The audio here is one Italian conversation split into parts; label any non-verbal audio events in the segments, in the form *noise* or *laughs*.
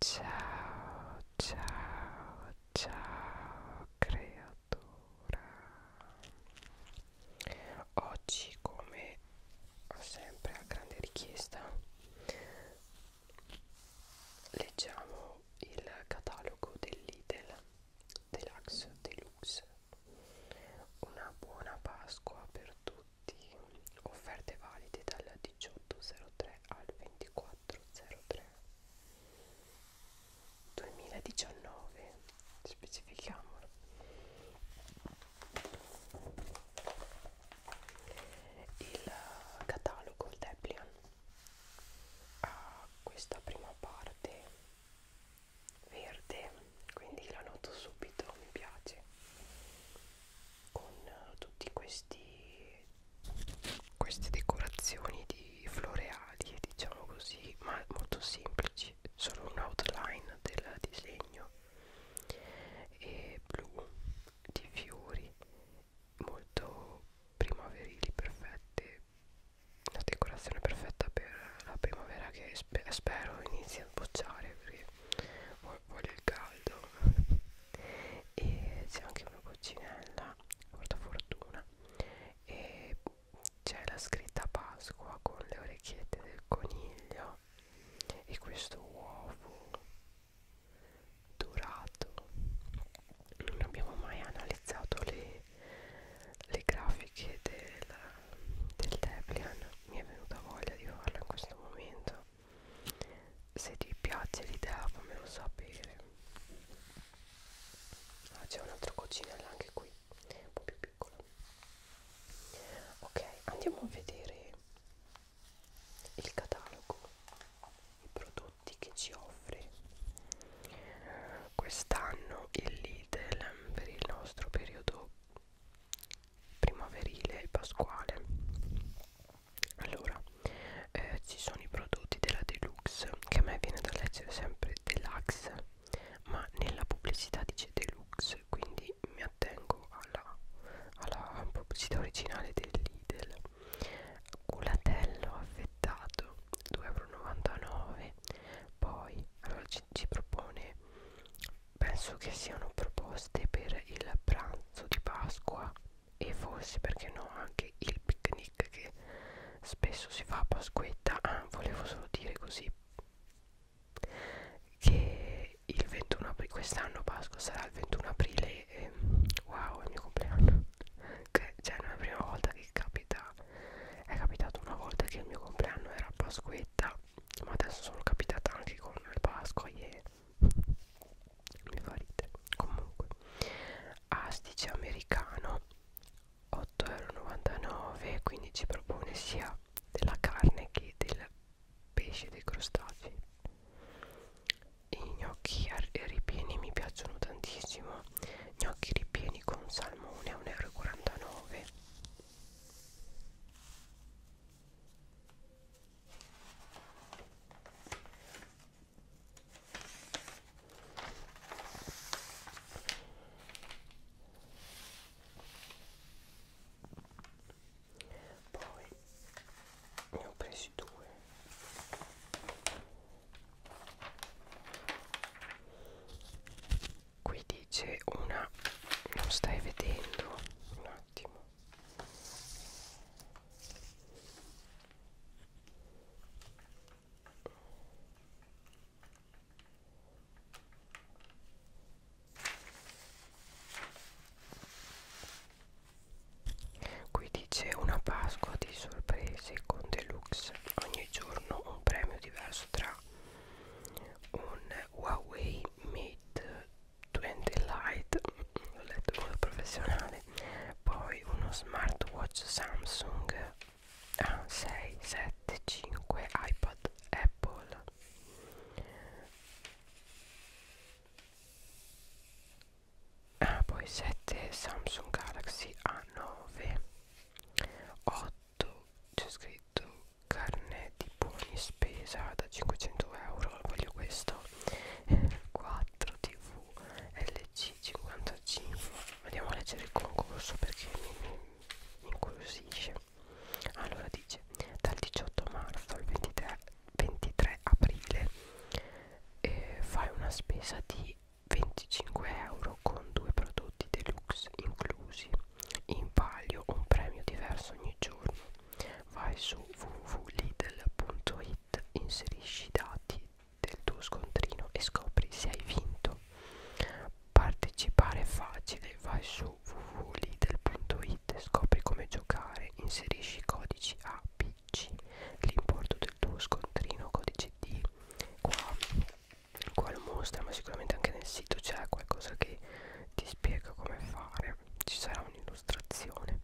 Ciao, ciao, ciao creatura. Oggi, come sempre a grande richiesta, leggiamo il catalogo dell'Idel Deluxe Deluxe. Una buona Pasqua per tutti prodotti offerte valide dal 1803 al 2403 2019 specifichiamolo il catalogo il Deplian ha questa prima parte verde quindi la noto subito mi piace con tutti questi queste decorazioni di floreali diciamo così ma molto semplici solo un outline del disegno e blu di fiori molto primaverili perfette una decorazione perfetta per la primavera che spe spero inizia a sbocciare perché ho voglio il caldo e c'è anche una coccinella porta fortuna e c'è la scritta Pasqua con le orecchiette del coniglio e questo uovo dorato non abbiamo mai analizzato le, le grafiche del, del Deplian mi è venuta voglia di farlo in questo momento se ti piace l'idea fammelo sapere ah, c'è un'altra coccinella anche qui un po' più piccola ok andiamo a vedere il catalogo i prodotti che ci offre quest'anno il Lidl per il nostro periodo primaverile e pasquale allora eh, ci sono i prodotti della deluxe che a me viene da leggere sempre deluxe ma nella pubblicità dice deluxe quindi mi attengo alla, alla pubblicità originale del Lidl culatello affettato 2,99 euro poi allora ci, ci propone penso che siano proposte per il pranzo di Pasqua e forse perché no anche il picnic che spesso si fa a Pasquetta ah, volevo solo dire così che il 21 aprile quest'anno Pasqua sarà il 21 aprile e, wow è il mio compleanno che, cioè non è la prima volta che capita è capitato una volta che il mio compleanno era a Pasquetta ma adesso sono capitata anche con il Pasqua e mi fa ridere comunque astice americano 8,99€ quindi ci propone sia della carne che del pesce dei crostacei i gnocchi ripieni mi piacciono tantissimo gnocchi ripieni con salmone a 1,49€ poi ne ho presi due. Qui dice una, non stai vedendo un attimo. Qui dice una Pasqua di sorprese con deluxe, ogni giorno un premio diverso tra un Huawei Mate 20 Lite l'ho letto in modo professionale poi uno smartwatch Samsung A675 ah, iPad Apple ah, poi 7 Samsung Galaxy A9 8 c'è scritto carnet di buoni spesa da 500 euro voglio questo 4 tv LC55 andiamo a leggere il concorso perché mi incuriosisce allora dice dal 18 marzo al 23, 23 aprile eh, fai una spesa di 25 euro con due prodotti deluxe inclusi in palio un premio diverso ogni giorno vai su www.lidl.it inserisci i dati del tuo scontrino e scopri se hai vinto partecipare è facile vai su www.lidl.it scopri come giocare inserisci i codici A, B, C l'importo del tuo scontrino codice D qua, qua lo mostra ma sicuramente anche nel sito c'è qualcosa che ti spiega come fare ci sarà un'illustrazione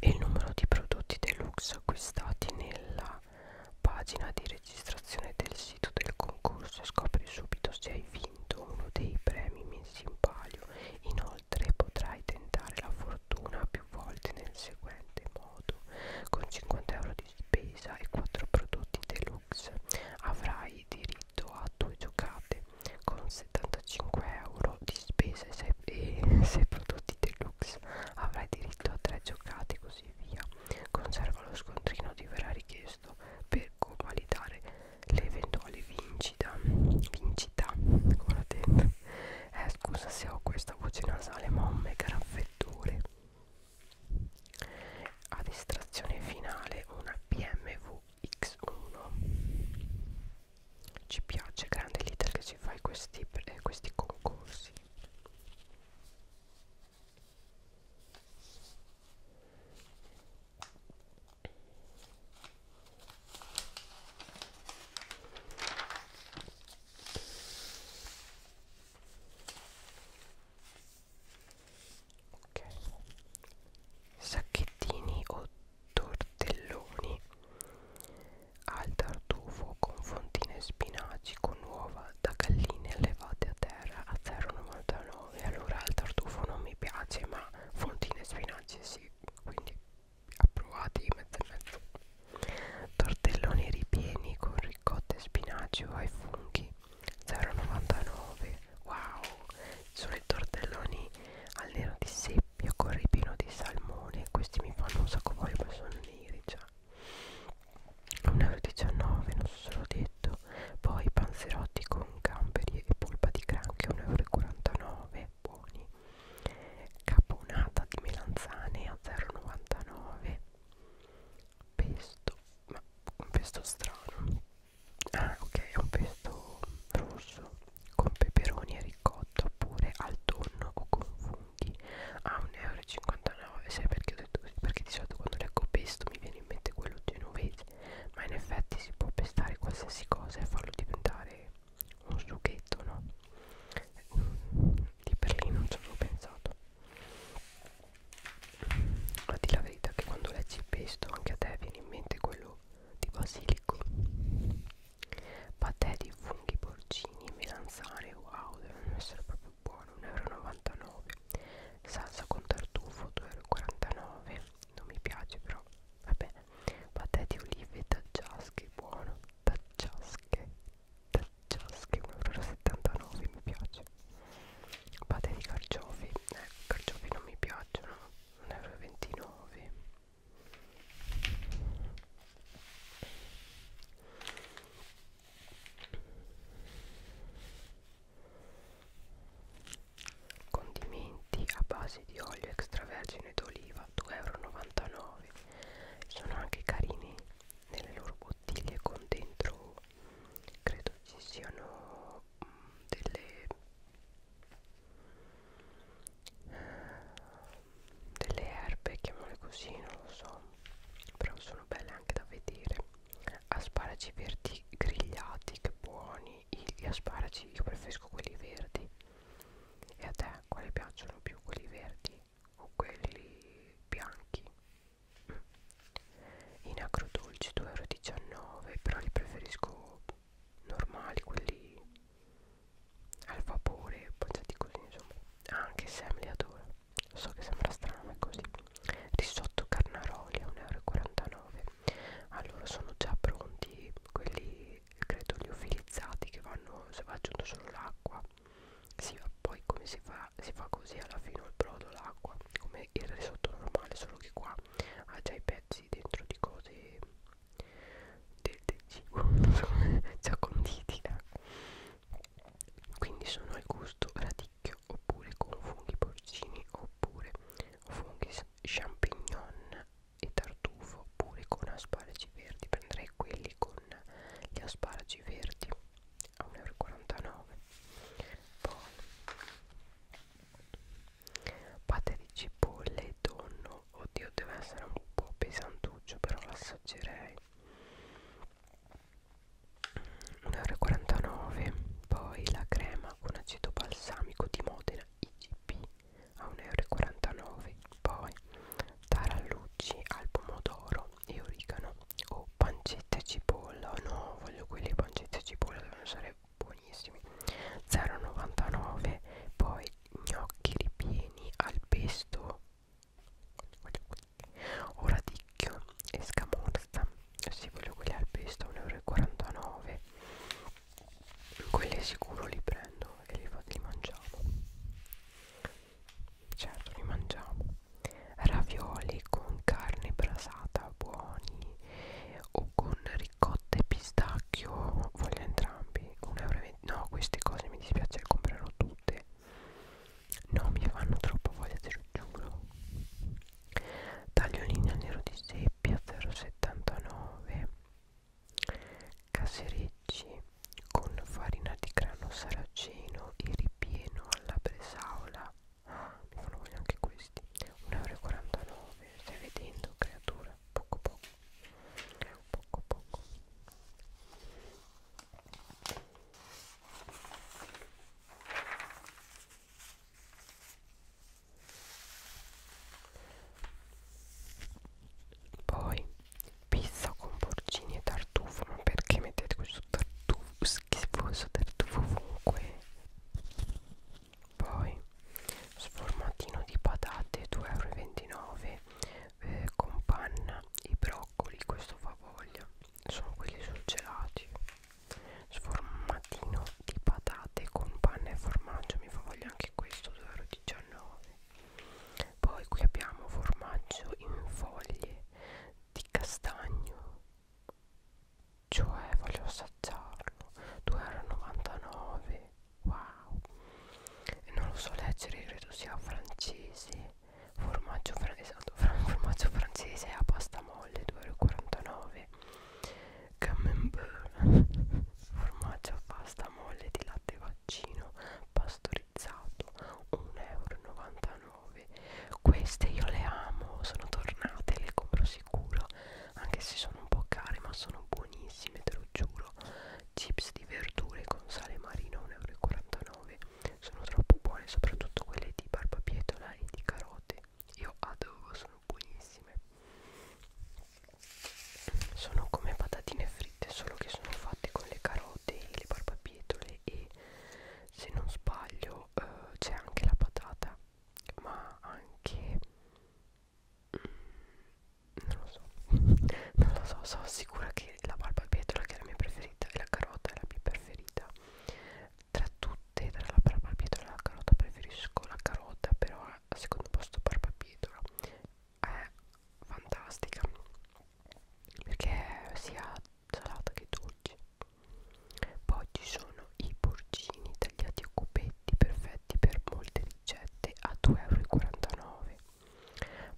e il numero di prodotti deluxe acquistati nella pagina di registrazione del sito del concorso e scopri subito se hai vinto uno dei premi messi in palio inoltre potrai tentare la fortuna più volte nel seguente modo con 50 euro di spesa e 4 prodotti deluxe avrai hai diritto a due giocate con 75 euro di spese se, e *laughs* se prodotti deluxe avrai diritto a tre giocate e così via conserva lo scontrino ti verrà richiesto per convalidare l'eventuale vincita vincita guardate eh, scusa se ho questa voce nasale ma ho un mega raffreddore ad estrazione finale una BMW X1 ci piace grande l'iter che ci fai questi, eh, questi concorsi Ok, sacchettini o tortelloni al tartufo con fontine e spinaci con uova da galline allevate a terra a 0,99 allora il tartufo non mi piace ma fontine e spinaci sì quindi approvati mezzo e mezzo tortelloni ripieni con ricotta e spinaci o ai funghi 0,99 wow sono i tortelloni al nero di seppia con ripino di salmone questi mi fanno un sacco voglia ma sono neri già 1,19 non so se l'ho detto poi panzerotti con gamberi e polpa di granchio 1,49 buoni caponata di melanzane a 0,99 pesto ma un pesto strano ah, ok è un pesto rosso con peperoni e ricotta oppure al tonno o con funghi a ah, 1,59 euro sai perché ho detto così perché di solito quando leggo pesto mi viene in mente quello genovese ma in effetti si può pestare qualsiasi cosa e farlo diventare un sughetto no di per lì non ci avevo pensato ma di la verità che quando leggi il pesto anche a te viene in mente quello di basilico patè di funghi porcini e melanzane wow devono essere proprio buone 1,99 euro salsa con tartufo 2,49 euro non mi piace però vabbè patè di olive taggiasche buono taggiasche taggiasche 1,79 euro mi piace patè di carciofi eh, carciofi non mi piacciono 1,29 euro condimenti a base di olio extravergine d'oliva 2,99 euro sono anche carini nelle loro bottiglie con dentro credo ci siano delle, delle erbe, chiamole così, non lo so, però sono belle anche da vedere. Asparagi verdi grigliati, che buoni. Gli asparagi io preferisco quelli verdi. E a te quali piacciono più? Quelli verdi o quelli bianchi? In agrodolci 2,19 euro, però li preferisco normali, quelli al vapore, mangiati così insomma. Ah, anche Sam li adora. Lo so che sembra strano, ma è così. Risotto carnaroli a 1,49 euro. Allora sono già pronti quelli, credo, liofilizzati che vanno, se va aggiunto solo l'acqua. Si va poi come si fa, si fa così alla fine il brodo, l'acqua, come il risotto normale, solo che qua ha già i pezzi dentro di cose del, del *laughs* cibo già conditi eh. quindi sono al gusto radicchio oppure con funghi porcini oppure funghi champignon e tartufo oppure con asparagi verdi prenderei quelli con gli asparagi verdi a 1,49 euro poi Pate di cipolle e tonno Oddio deve essere un po' pesantuccio Però l'assaggerei 1,49€ Poi la crema con aceto balsamico di Modena IGP a 1,49€ Poi tarallucci al pomodoro e origano O oh, pancetta e cipolla No voglio quelli pancetta e cipolla devono essere buonissimi 0,99 poi gnocchi ripieni al pesto oradicchio e scamorza si voglio quelli al pesto 1,49 euro quelli sicuro li prendo e li, li mangiamo certo li mangiamo ravioli con carne brasata buoni o con ricotta e pistacchio voglio entrambi 1,20 euro no queste cose mi dispiace le comprerò tutte no mi fanno troppo voglia te lo giuro tagliolini al nero di seppia 0,79 caserecci con farina di grano saraceno e ripieno alla bresaola ah, mi fanno voglia anche questi 1,49 euro stai vedendo creatura poco poco poco poco poi pizza con porcini e tartufo ma perché mettete questo tartufo schifoso tartufo ovunque poi sformatino di patate 2,29 euro eh, con panna i broccoli questo fa voglia sono quelli surgelati sformatino di patate con panna e formaggio mi fa voglia anche questo 2,19 euro poi qui abbiamo formaggio in foglie di castagno cioè voglio assaggiarlo 2,99 euro wow non lo so leggere credo sia francese formaggio, fran esatto, fran *laughs* formaggio francese a pasta molle 2,49 euro camembert *laughs* formaggio a pasta molle di latte vaccino pastorizzato 1,99 euro queste io le amo sono tornate le compro sicuro anche se sono un po' care ma sono buonissime te lo giuro chips di verdure con sale marino 1,49 euro sono troppo buone soprattutto quelle di barbabietola e di carote io adoro sono buonissime sono come patatine fritte solo che sono fatte con le carote e le barbabietole e se non sbaglio eh, c'è anche la patata ma anche non lo so *laughs* non lo so sono sicura che la barbabietola che è la mia preferita e la carota è la mia preferita tra tutte tra la barbabietola e la carota preferisco la carota però al secondo posto barbabietola è fantastica perché è sia salata che dolce poi ci sono i porcini tagliati a cubetti spaghetti perfetti per molte ricette a 2,49€.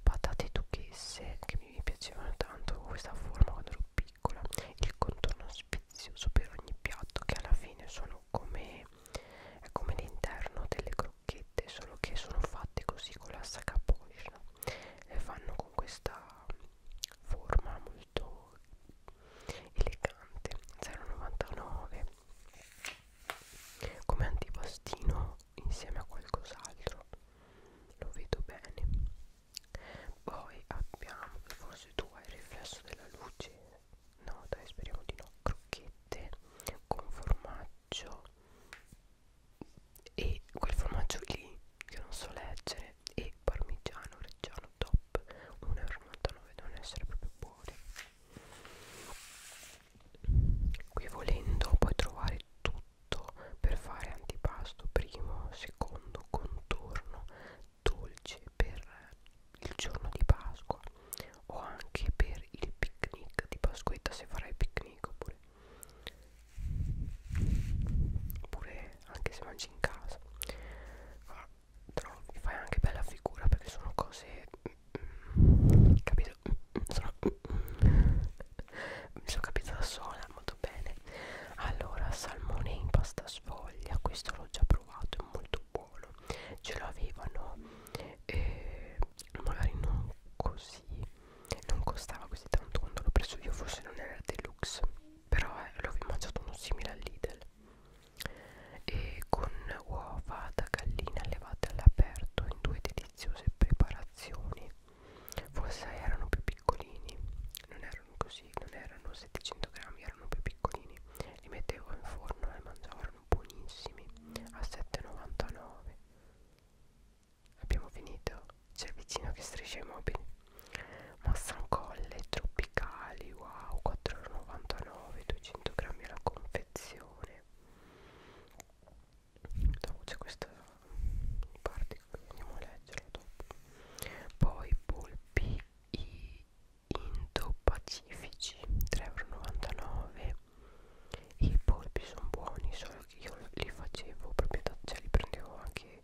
Patate duchesse che mi piacevano tanto questa forma quando ero piccola. Il contorno spizioso per ogni piatto che alla fine sono come, è come l'interno delle crocchette, solo che sono fatte così con la sacca poscia. Le fanno con questa forma molto elegante 0,99 come antipastino insieme a qualcos'altro lo vedo bene poi abbiamo forse tu hai il riflesso della luce no dai speriamo di no crocchette con formaggio e quel formaggio lì che non so leggere e parmigiano reggiano top 1,99 devono essere proprio buone qui volendo puoi trovare tutto per fare antipasto primo secondo contorno dolce per il giorno di Pasqua o anche per il picnic di Pasquetta se farai picnic oppure oppure anche se mangi in casa ah, trovi, fai anche bella figura perché sono cose mm, capito sono mm, mi sono capita da sola molto bene allora salmone in pasta sfoglia questo l'ho già provato è molto buono ce l'avevano eh, magari non così non costava così tanto quando l'ho preso io forse non era deluxe però eh, l'ho mangiato uno simile al Lidl e con uova da gallina allevate all'aperto in due deliziose preparazioni forse erano più piccolini non erano così non erano 700 grammi erano più piccolini li mettevo in forno e mangiavano buonissimi a 7,99 abbiamo finito c'è vicino che striscia i mobili massancolle tropicali wow 4,99 2,99 200 grammi alla confezione dopo c'è questa parte andiamo a leggerla dopo poi polpi indo-pacifici 3,99 i polpi sono buoni solo che io li facevo proprio da, cioè li prendevo anche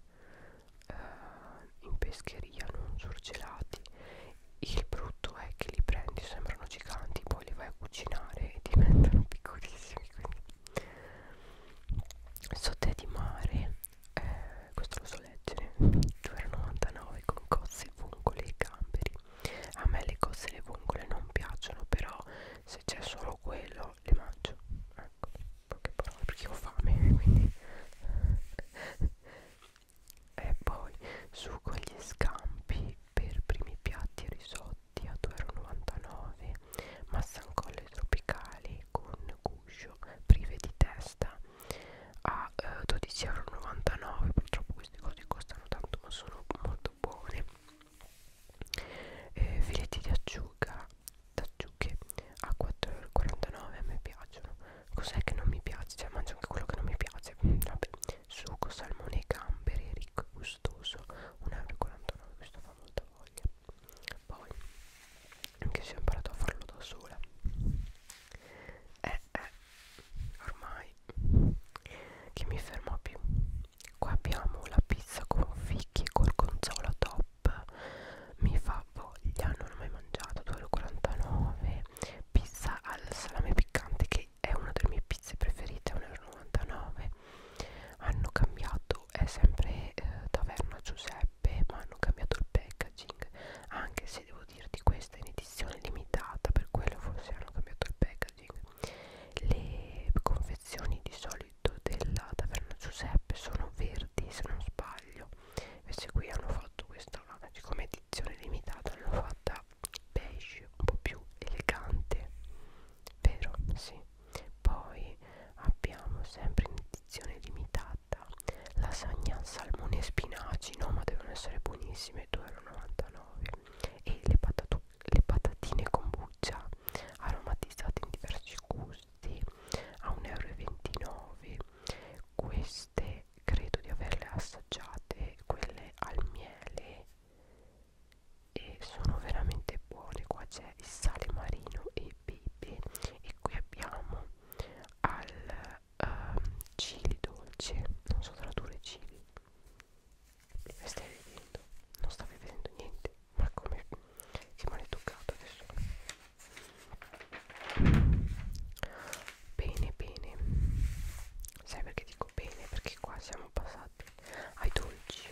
eh, in pescheria non surgelati il brutto è che li prendi sembrano giganti poi li vai a cucinare e diventano *laughs* piccolissimi quindi Sotè di mare eh, questo lo so leggere 2,99 con cozze, vongole e gamberi a me le cozze e le vongole non piacciono però se c'è solo quello le mangio ecco poche parole perché ho fame *laughs* quindi e poi sugo agli scampi per primi piatti e risotti a 2,99 massancolle tropicali con guscio prive di testa a eh, 12,99 purtroppo queste cose costano tanto ma sono molto buone eh, filetti di acciuga d'acciughe a 4,49 a me piacciono Cos'è che non mi piace? Cioè mangio anche quello che non mi piace mm, Vabbè Succo, salmone e gamberi Ricco e gustoso 1,49€ Questo fa molta voglia Poi Anche se ho imparato a farlo da sola Eh eh Ormai Che mi fermo più Qua abbiamo la pizza con fichi Col gonzolo top Mi fa voglia Non l'ho mai mangiata 2,49€ salame pizza al salame piccante che è una delle mie pizze preferite 1,99 hanno cambiato è sempre eh, taverna Giuseppe ma hanno cambiato il packaging anche se devo dirti questa è in edizione limitata per quello forse hanno cambiato il packaging le confezioni di solito della taverna Giuseppe sono verdi se non sbaglio invece qui hanno fatto questa siccome edizione limitata l'hanno fatta beige un po' più elegante vero? sì poi abbiamo sempre in edizione limitata lasagna salmone e spinaci no ma devono essere buonissime 2,99 e le, patato, le patatine con buccia aromatizzate in diversi gusti a 1,29 euro queste perché credo di averle assaggiate quelle al miele e sono veramente buone qua c'è il sale marino e pepe e qui abbiamo al uh, chili dolce non so tradurre chili mi stai vedendo non stavi vedendo niente ma come che male toccato adesso bene bene sai perché dico bene perché qua siamo passati ai dolci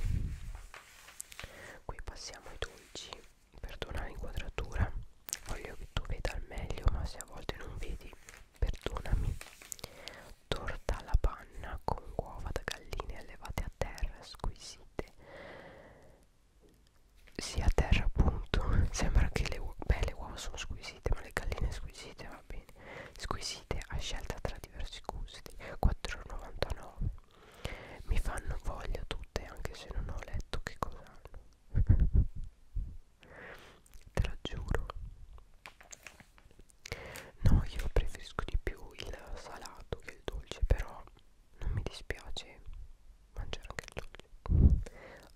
qui passiamo ai dolci perdona l'inquadratura voglio che tu veda al meglio ma se a volte non vedi perdonami torta alla panna con uova da galline allevate a terra squisite sia a terra appunto *laughs* sembra che le uova beh le uova sono squisite ma le galline squisite va bene squisite a scelta tra diversi gusti 4,99 mi fanno voglia tutte anche se non ho letto che cosa hanno *laughs* te lo giuro no io preferisco di più il salato che il dolce però non mi dispiace mangiare anche il dolce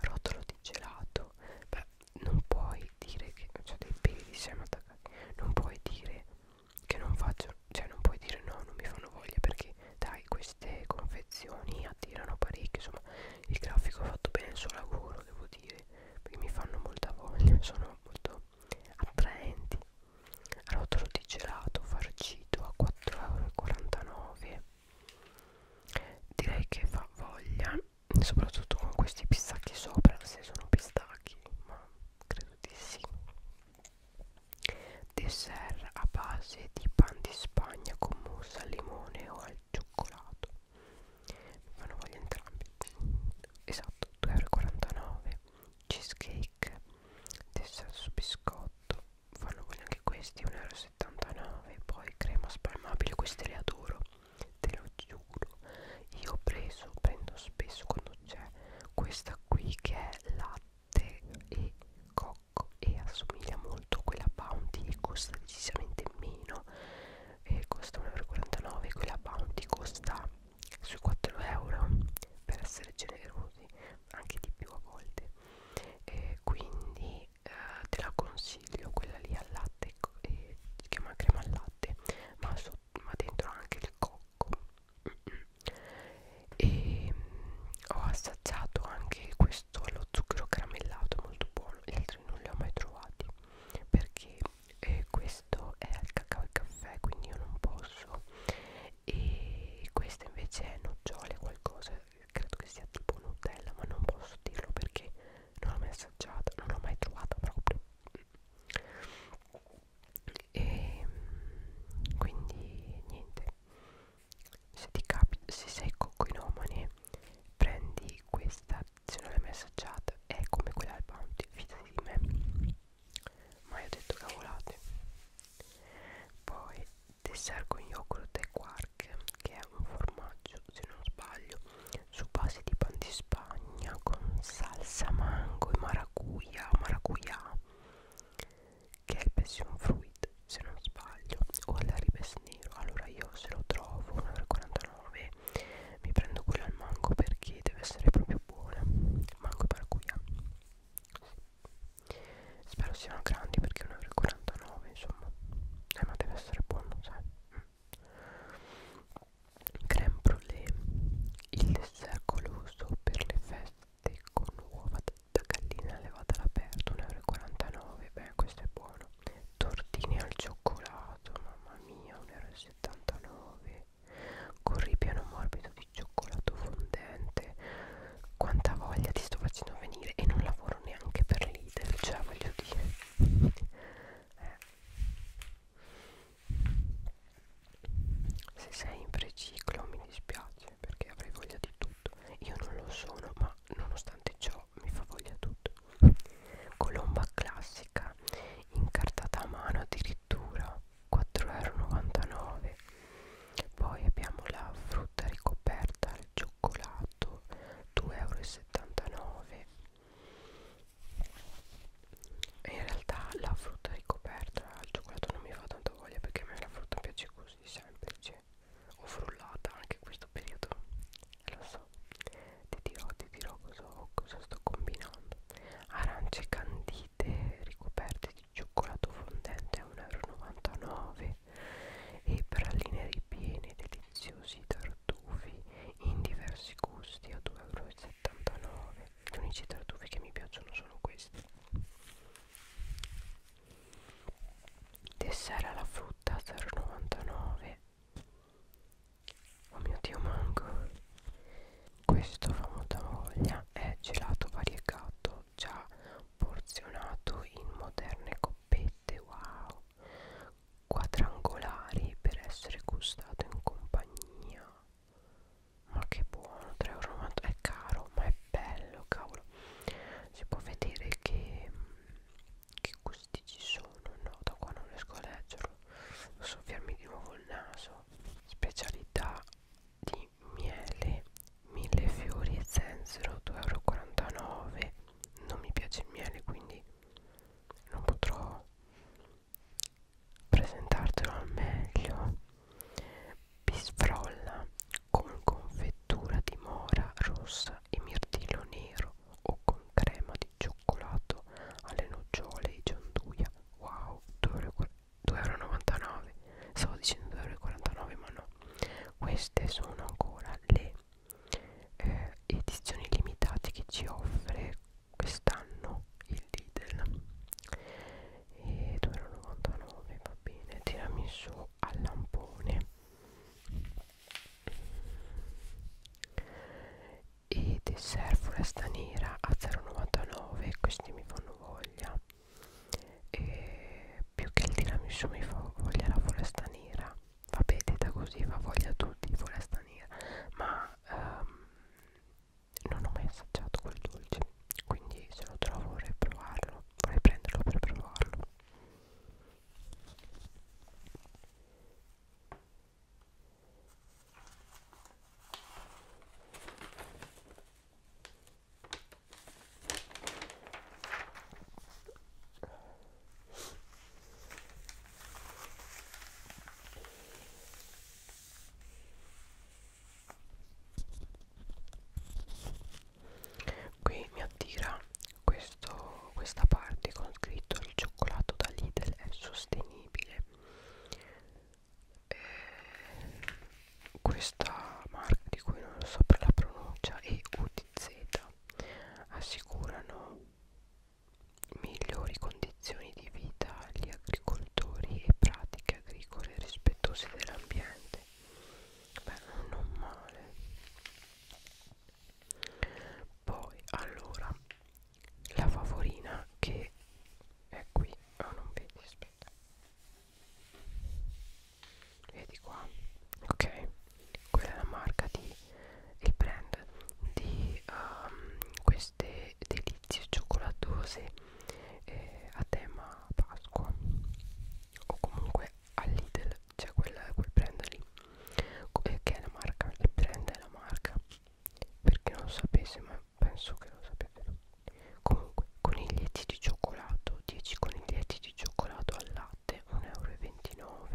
rotolo di gelato beh non puoi dire che cioè dei peli di seme attaccati non puoi dire che non faccio cioè non puoi dire no non mi fanno voglia perché dai queste confezioni attirano parecchio insomma il grafico ha fatto bene il suo lavoro devo dire perché mi fanno molta voglia *laughs* sono molto attraenti rotolo di gelato farcito a 4,49 euro direi che fa voglia soprattutto con questi pistacchi sopra se sono pistacchi ma credo di sì dessert a base di pan di spagna con mousse al limone o al cioccolato mi fanno voglia entrambi esatto 2,49€ cheesecake dessert su biscotto fanno voglia anche questi 1,60€ 1,79 poi crema spalmabile queste le adoro te lo giuro io ho preso prendo spesso quando c'è questa qui che è latte e cocco e assomiglia molto a quella bounty e costa decisamente meno e costa 1,49 quella bounty costa sui 4 euro per essere generosi anche di più a volte e quindi quindi eh, te la consiglio quella lì al latte eh, si chiama crema al latte ma, so, ma dentro anche il cocco e mh, ho assaggiato anche questo allo zucchero caramellato molto buono gli altri non li ho mai trovati perché eh, questo è al cacao e caffè quindi io non posso e questa invece è nocciole qualcosa credo che sia tipo Nutella ma non posso dirlo perché non l'ho mai assaggiata non l'ho mai trovata proprio e ehm, quindi niente se ti capita se sei coccoinomane prendi questa se non l'hai mai assaggiata è come quella al bounty fidati di me ma io ho detto cavolate poi dessert con yogurt e quark che è un formaggio se non sbaglio su base di pan di spagna con salsa mango e maracuja maracuja che è il passion fruit se non sbaglio o all'aribes nero allora io se lo trovo 1,49 mi prendo quello al mango perché deve essere proprio buona mango e maracuja spero siano grandi perché 1,49 49 insomma eh ma deve essere buono sai mm. creme brulee il dessert goloso per le feste con uova da gallina levata all'aperto 1,49 euro beh questo è buono tortini al cioccolato mamma mia 1,79 euro con ripiano morbido di cioccolato fondente quanta voglia ti sto facendo venire e non la lavoro neanche per l'idel, cioè voglio dire eh. se sei in preciclo mi dispiace perché avrei voglia di tutto io non lo sono ma nonostante ciò mi fa voglia tutto colomba classica incartata a mano addirittura 4,99 euro poi abbiamo la frutta ricoperta al cioccolato cioccolato 2,79 euro in realtà la frutta ricoperta al cioccolato non mi fa tanta voglia perché a me la frutta piace così semplice o frullata anche questo periodo lo so ti dirò ti dirò cosa, cosa sto combinando arance candite ricoperte di cioccolato fondente a 1,99 euro e praline ripiene deliziosi tartufi in diversi gusti a 2,79 euro gli unici tartufi che mi piacciono sono questi dessert alla frutta 0,99 oh mio dio mango questo famosa voglia è gelato variegato già porzionato in moderne coppette wow quadrangolari per essere gustato in compagnia ma che buono 3,90 euro è caro ma è bello cavolo si può vedere che che gusti ci sono no da qua non riesco a leggerlo devo soffiarmi di nuovo il naso specialità di miele mille fiori e zenzero 2,49 euro non mi piace il miele quindi non potrò presentartelo al meglio bisfrolla con confettura di mora rossa e mirtillo nero o con crema di cioccolato alle nocciole e gianduia wow 2,99 euro stavo dicendo 2,49 ma no queste sono ancora le eh, edizioni limitate che ci offre quest'anno il Lidl e 2,99 va bene tiramisù al lampone e dessert foresta nera a 0,99 questi mi fanno voglia e più che il tiramisù mi fa voglia la foresta nera vabbè detta così va voglia a tutti foresta nera ma ehm, non ho mai assaggiato quel dolce quindi se lo trovo vorrei provarlo vorrei prenderlo per provarlo Qui mi attira questo, questa parte con scritto il cioccolato da Lidl è sostenibile. Eh, questa marca di cui non so per la pronuncia è utile BZ assicurano migliori condizioni di vita agli agricoltori e pratiche agricole rispettose dell'ambiente. Beh, non male. Poi, allora, la favorina che è qui, oh non vedi, aspetta vedi qua ok quella è la marca di il brand di um, queste delizie cioccolatose eh, a tema Pasqua o comunque all'Idel c'è cioè quel, quel brand lì eh, che è la marca il brand è la marca perché non lo sapesse ma penso che lo sapete comunque coniglietti di cioccolato 10 coniglietti di cioccolato al latte latte 1,29 euro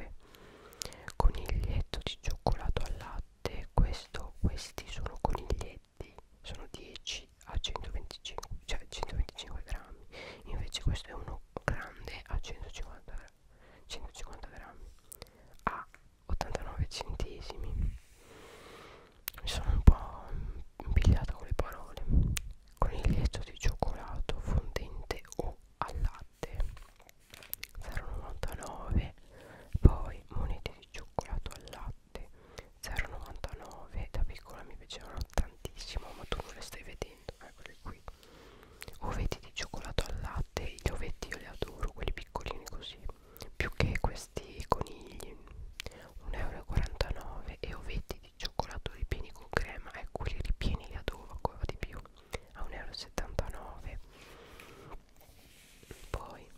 coniglietto di cioccolato al latte questo, questi sono coniglietti sono 10 a 125 cioè 125 grammi invece questo è uno grande a 150 grammi 150 grammi a 89 centesimi mi sono un po' impigliata con le parole coniglietto di cioccolato fondente o al latte 0,99 poi monete di cioccolato al latte 0,99 da piccola mi piacevano tantissimo ma tu non le stai vedendo eccole eh, qui ovetti di cioccolato al latte gli ovetti io li adoro quelli piccolini così più che questi conigli 1,49 euro e ovetti di cioccolato ripieni con crema e ecco, quelli ripieni li adoro ancora di più a 1,79 euro poi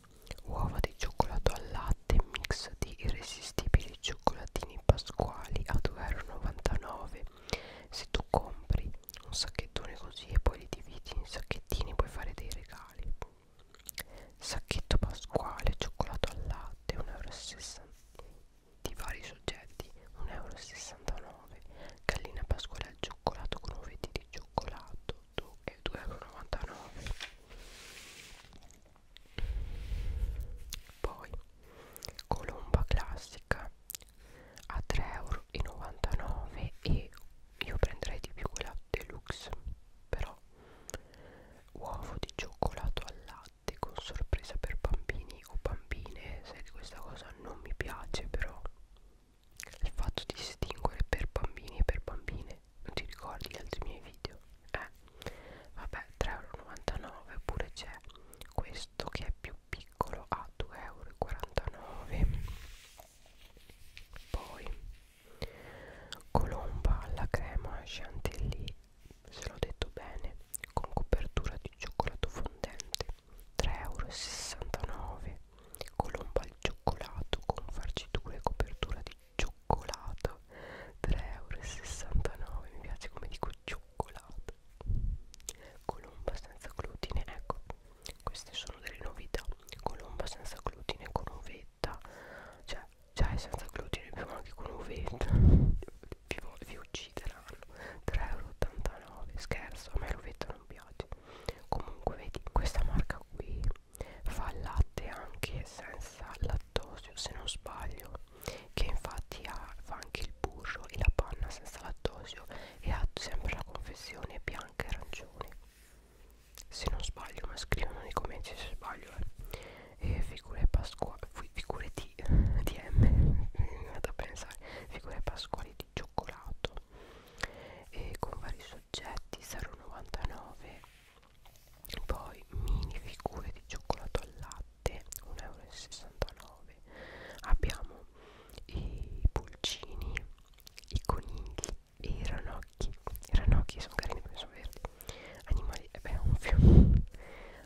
uova di cioccolato al latte mix di irresistibili cioccolatini pasquali a 2,99 euro se tu compri un sacchettone così e poi li dividi in sacchettini puoi fare dei regali sacchetto pasquale cioccolato al latte 1,69 euro di vari soggetti 1,69 euro gallina pasquale al cioccolato con uvetti di cioccolato 2,99 eh, euro poi colomba classica a 3,99 euro e io prenderei di più quella deluxe però uovo di cioccolato al latte latte con sorpresa per bambini o bambine se questa cosa non mi piace però il fatto di distinguere per bambini e per bambine non ti ricordi gli altri miei video? eh vabbè 3,99€ oppure c'è questo che è più piccolo a 2,49€ poi colomba alla crema chantilly se l'ho detto bene, con copertura di cioccolato fondente 3,69€, colomba al cioccolato con farcitura e copertura di cioccolato 3,69€, mi piace come dico cioccolato, colomba senza glutine, ecco, queste sono delle novità, colomba senza glutine con uvetta, cioè già è senza glutine, più anche con uvetta, *laughs* vi, vi ucciderà strano 3,89€ scherzo a me l'uvetta non piace comunque vedi questa marca qui fa latte anche senza lattosio se non sbaglio che infatti ha, fa anche il burro e la panna senza lattosio e ha sempre la confezione bianca e arancione se non sbaglio ma scrivono nei commenti se sbaglio eh. e figure, pasqua, figure di, di M vado a pensare figure pasquali di cioccolato e con vari soggetti 0,99 poi mini figure di cioccolato al latte 1,69 abbiamo i pulcini i conigli e i ranocchi i ranocchi sono carini perché sono verdi animali, eh beh, un fiume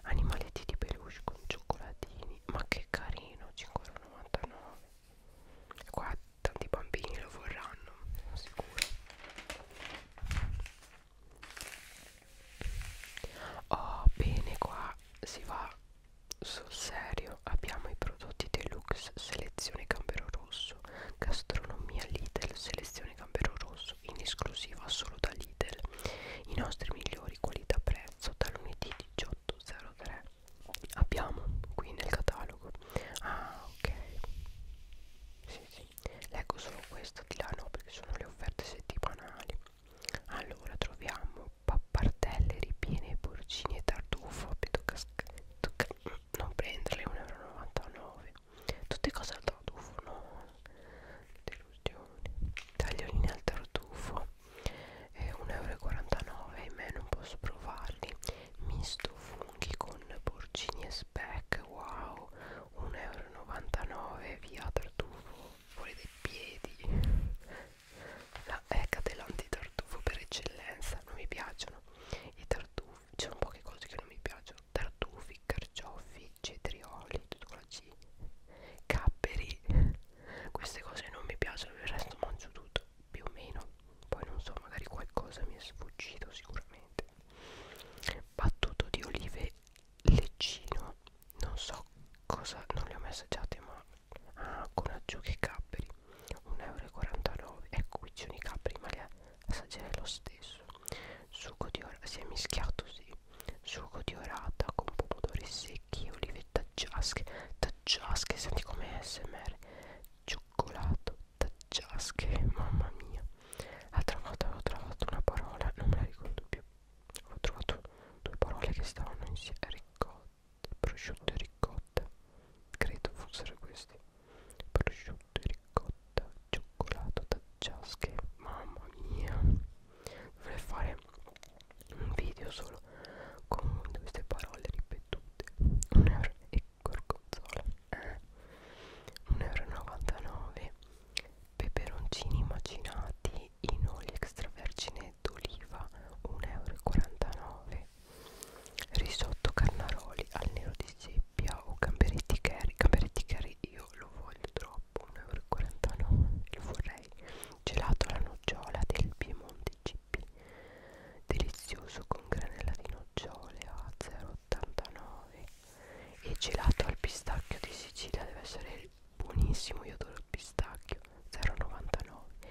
animaletti di peluche con cioccolatini ma che carino 5,99 qua tanti bambini lo vorranno sono sicuro oh bene qua si va sul serio abbiamo i prodotti deluxe selezione gambero rosso gastronomia Lidl selezione gambero rosso in esclusiva solo da Lidl i nostri migliori qualità prezzo prezzo da lunedì 18.03 abbiamo qui nel catalogo ah ok sì, sì. leggo solo questo di là no perché sono le offerte settimanali allora troviamo pappartelle ripiene porcini e tartufo mm, non prenderle 1,99 euro tutte cose al tartufo no escursioni tagliolini al tartufo eh, 1,49€ in me non posso provarli misto funghi con porcini e speck wow 1,99€ via tartufo fuori dai piedi la ecca dell'antitartufo per eccellenza non mi piacciono i tartufi c'erano poche cose che non mi piacciono tartufi carciofi cetrioli tutto naufragi, capperi, queste cose non mi piacciono, il resto mangio tutto, più o meno, poi non so, magari qualcosa mi è sfuggito sicuramente. Battuto di olive leccino, non so cosa, non le ho mai assaggiate ma ah, con acciughe e capperi, 1,49 euro, ecco qui c'è i capperi ma le assaggerei lo stesso. Succo di ora si è mischiato, sì sugo di orata con pomodori secchi, olive taggiasche, taggiasche, senti come smr, cioccolato, taggiasche, mamma mia. L'altra volta avevo trovato una parola, non me la ricordo più, ho trovato due parole che stavano insieme, ricotta, prosciutto e ricotta, credo fossero queste, prosciutto e ricotta, cioccolato, taggiasche, mamma mia dovrei fare un video solo con queste parole ripetute 1 euro e gorgonzola eh. 1,99 euro peperoncini macinati in olio extravergine d'oliva 1,49 euro risotto carnaroli al nero di seppia o gamberetti curry gamberetti curry io lo voglio troppo 1,49€ il vorrei gelato alla nocciola del Piemonte GP delizioso con granella di nocciole a 0,89 e gelato al pistacchio di Sicilia deve essere buonissimo io adoro il pistacchio 0,99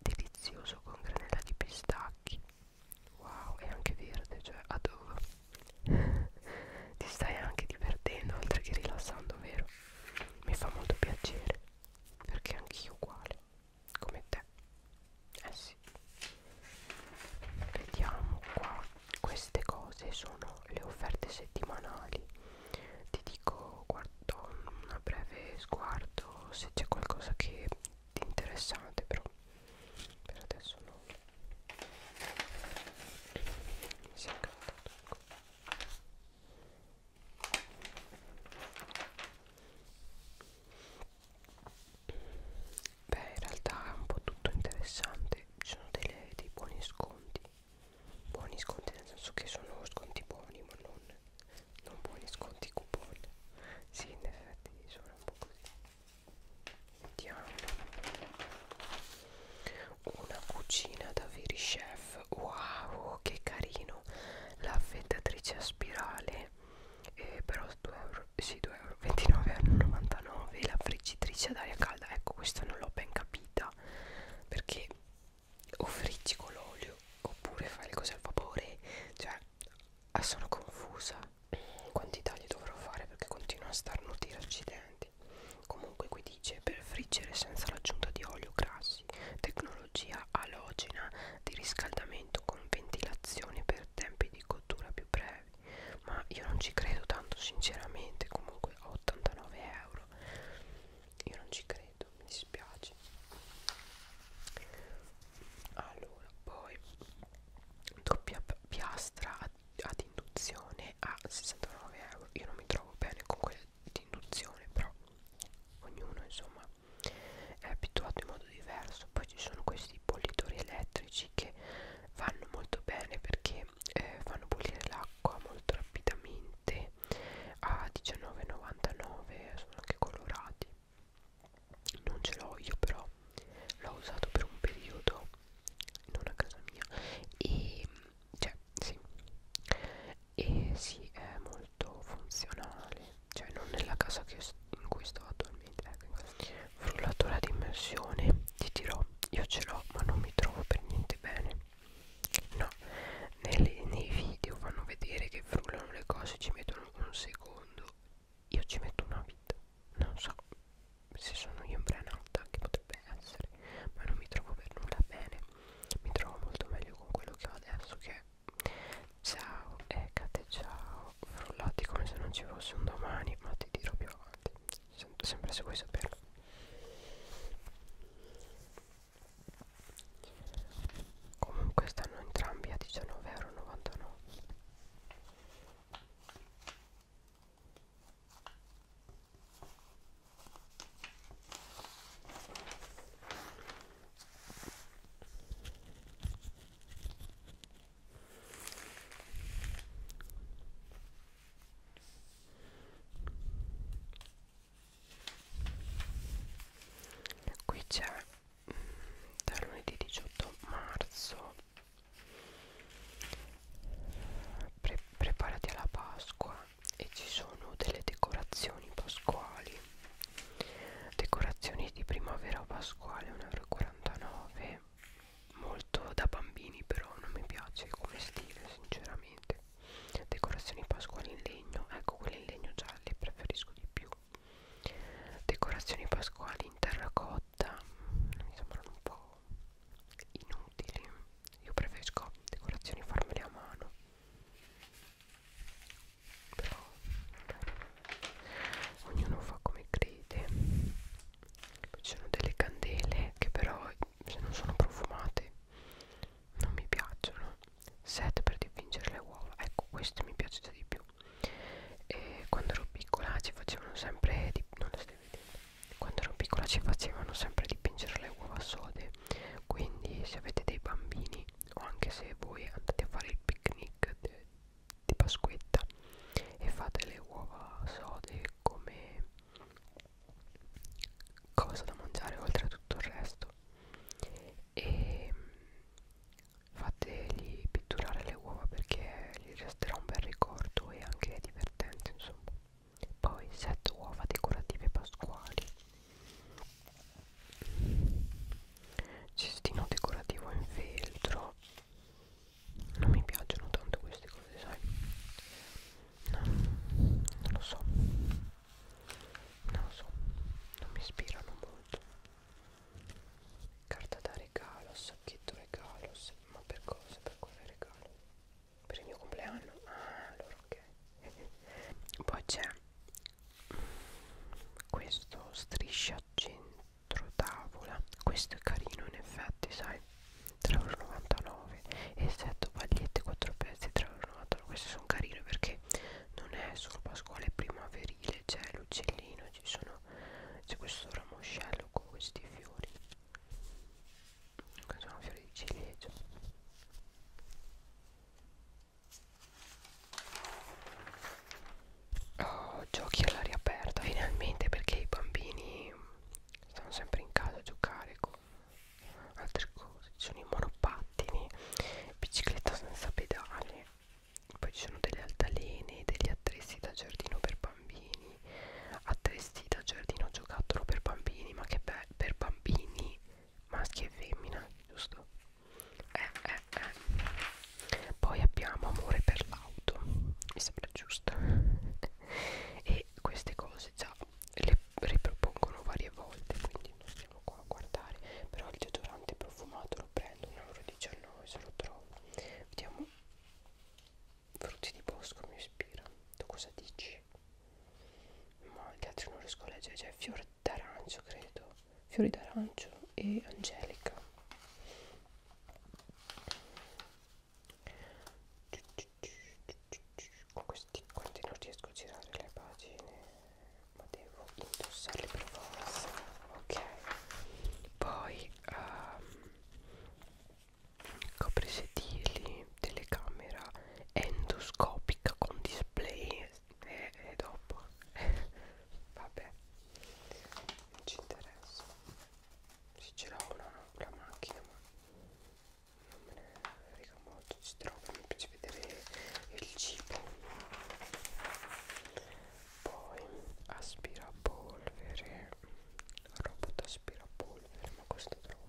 delizioso con granella di pistacchi wow è anche verde cioè adoro *laughs* ti stai anche divertendo oltre che rilassando vero mi fa molto piacere perché anch'io uguale come te eh sì vediamo qua queste cose sono le offerte settimanali ti dico guardo un breve sguardo se c'è qualcosa che ti interessante però per adesso no mi si è incantato ecco. Beh, in realtà è un po' tutto interessante. Ci sono delle, dei buoni sconti. Buoni sconti nel senso che sono sconti buoni, ma non, non buoni sconti coupon. Sì, in effetti sono un po' così. Vediamo una cucina da veri chef wow che carino l'affettatrice a spirale eh, però 2 euro, sì, 2 euro 29,99 la friggitrice ad aria calda ecco questa non l'ho ben capita perché o friggi con l'olio oppure fai le cose al vapore cioè ah, sono confusa quanti tagli dovrò fare perché continuo a starnutire accidenti Comunque qui dice per friggere senza l'aggiunta di olio grassi, tecnologia alogena di riscaldamento con ventilazione per tempi di cottura più brevi. Ma io non ci credo tanto sinceramente, comunque a 89 euro. Io non ci credo, mi dispiace. Allora, poi doppia piastra ad induzione a 69 euro. Io non mi trovo bene con quelle di induzione però ognuno insomma è abituato in modo diverso poi ci sono questi bollitori elettrici che vanno molto bene perché eh, fanno bollire l'acqua molto rapidamente a 19,99 sono anche colorati non ce l'ho io però l'ho usato per un periodo non a casa mia e cioè sì e sì è molto funzionale cioè non nella casa che in cui sto attualmente ecco. frullatura di immersione ti dirò io ce l'ho ma non mi trovo per niente bene no nelle, nei video fanno vedere che frullano le cose ci mettono un secondo io ci metto una vita non so se sono io imbranata che potrebbe essere ma non mi trovo per nulla bene mi trovo molto meglio con quello che ho adesso che ciao Ecate ciao frullati come se non ci fosse un domani ma ti dirò più avanti Sento sempre se vuoi saperlo comunque stanno entrambi a 19,99 euro Qui c'è mm, da lunedì 18 marzo Pre preparati alla Pasqua e ci sono delle decorazioni pasquali decorazioni di primavera pasquale 1,49 euro molto da bambini però non mi piace come stile sinceramente decorazioni pasquali in legno ecco quelle in legno gialle preferisco di più decorazioni pasquali in terracotta mi sembrano un po' inutili io preferisco decorazioni farmele a mano però vabbè. ognuno fa come crede poi ci sono delle candele che però se non sono profumate non mi piacciono set per dipingere le uova ecco queste mi piace già di più e quando ero piccola ci facevano sempre di non le stai vedendo quando ero piccola ci facevano sempre dipingere le uova sode quindi se avete dei bambini o anche se voi andate a fare il picnic di Pasquetta e fate le uova sode come cosa da mangiare oltre a tutto il resto e fategli pitturare le uova perché gli resterà un bel ricordo e anche è divertente insomma poi 7 uova decorative pasquali cestino decorativo in feltro non mi piacciono tanto queste cose sai no, non lo so non lo so non mi ispirano molto carta da regalo sacchetto regalo ma per cosa per quale regalo per il mio compleanno ah allora ok *laughs* poi c'è questo striscia centro tavola questo è carino in effetti sai 3,99€ e 7 pagliette 4 pezzi 3,99€ questi sono carini perché non è solo pasquale è primaverile c'è l'uccellino ci sono c'è questo ramoscello con questi fiori questi sono fiori di ciliegio oh, giochi all'aria aperta finalmente perché i bambini stanno sempre in casa a giocare con altre cose ci sono i monopattini bicicletta senza pedali poi ci sono delle altalene degli attrezzi da giardino per bambini bambini attesti da giardino giocattolo per bambini ma che beh, per bambini maschi e femmina giusto eh, eh, eh. poi abbiamo amore per l'auto mi sembra giusto e queste cose già le ripropongono varie volte quindi non stiamo qua a guardare però il deodorante profumato lo prendo 1,19 euro se lo trovo vediamo Frutti di bosco mi ispira. Tu cosa dici? Ma gli altri non riesco a leggere. C'è cioè, fiore d'arancio, credo. Fiori d'arancio e angelica. Con questi quanti non riesco a girare le pagine, ma devo indossarle per forza. Ok, poi um, coprisedili, telecamera endoscopica con display e, e dopo *laughs* vabbè non ci interessa se ce l'ho una la macchina ma non me ne frega molto ci trovo mi piace vedere il cibo poi aspirapolvere robot aspirapolvere ma costa troppo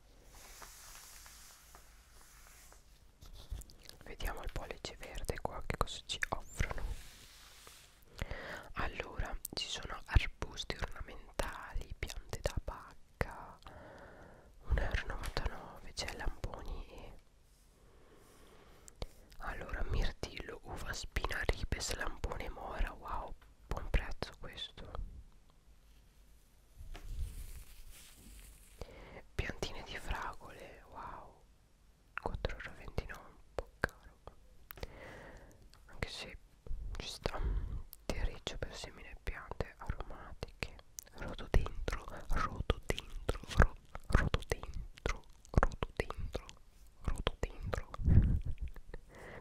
Vediamo il pollice verde qua che cosa ci offrono. Allora, ci sono arbusti ornamentali, piante da pacca, 1,99€, c'è lamponi e... Allora, mirtillo, uva spina, ribes, lampone, mora, wow, buon prezzo questo. Piantine di fragole, wow, 4,29€ un po' caro, anche se ci sta terriccio per semine piante aromatiche, rododendro, rododendro, ro, rododendro, rododendro, rododendro,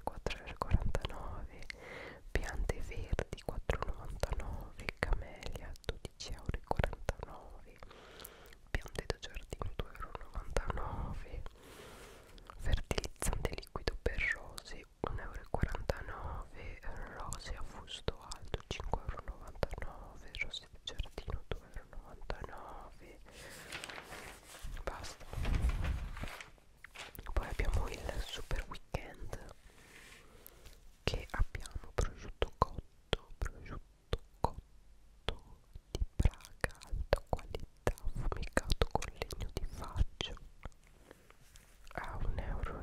4,49, *laughs* piante verdi 24,99 camelia 12,49 piante da giardino 2,99 fertilizzante liquido per rose 1,49 rose a fusto alto 5,99 rose da giardino 2,99 basta poi abbiamo il super weekend che abbiamo prosciutto cotto prosciutto cotto di Praga alta qualità fumicato con legno di faggio a 1,11 euro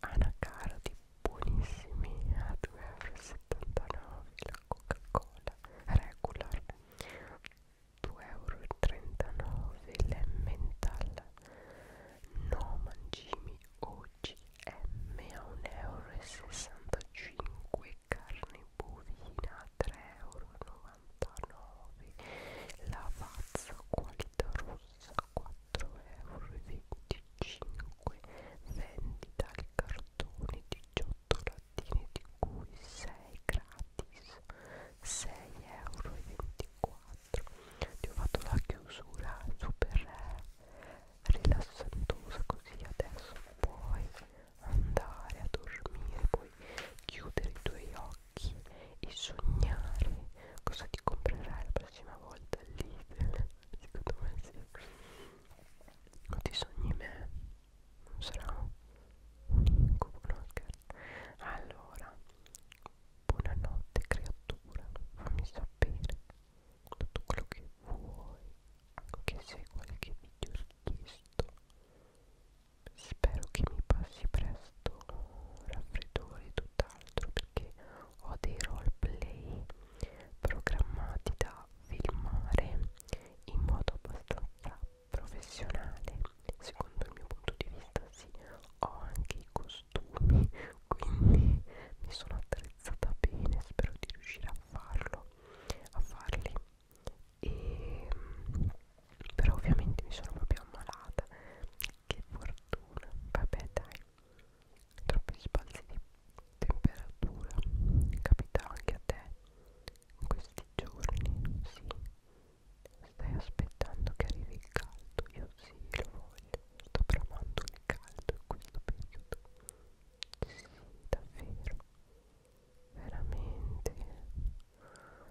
anacara di buonissimi a 2,79 euro la coca cola regular 2,39€ l'emmental no mangimi oggi M a 1,65€ carne bovina 3,99€ lavazza qualità rossa 4,25€ vendita al cartone 18 lattine di cui 6 gratis 6,24€ ti ho fatto la chiusura super eh, rilassantosa così adesso puoi andare a dormire puoi chiudere i tuoi occhi e sognare cosa ti comprerai la prossima volta lì *laughs* secondo me sì o ti sogni me non sarà un incubo, no scherzo allora buonanotte creatura fammi sapere tutto quello che vuoi anche se qualche video richiesto spero che mi passi presto raffreddore e tutt'altro perché ho dei roleplay programmati da filmare in modo abbastanza professionale secondo il mio punto di vista sì ho anche i costumi *laughs* quindi mi sono attrezzata bene spero di riuscire a farlo a farli e però ovviamente mi sono proprio ammalata che fortuna vabbè dai troppi spazi di temperatura capita anche a te in questi giorni sì Stai aspettando che arrivi il caldo? Io sì, lo voglio. Sto bramando il caldo in questo periodo. Sì, davvero. Veramente.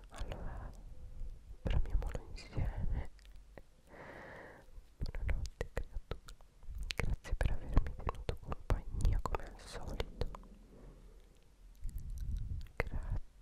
Allora, bramiamolo insieme. Buonanotte, creatura. Grazie per avermi tenuto compagnia come al solito. Grazie.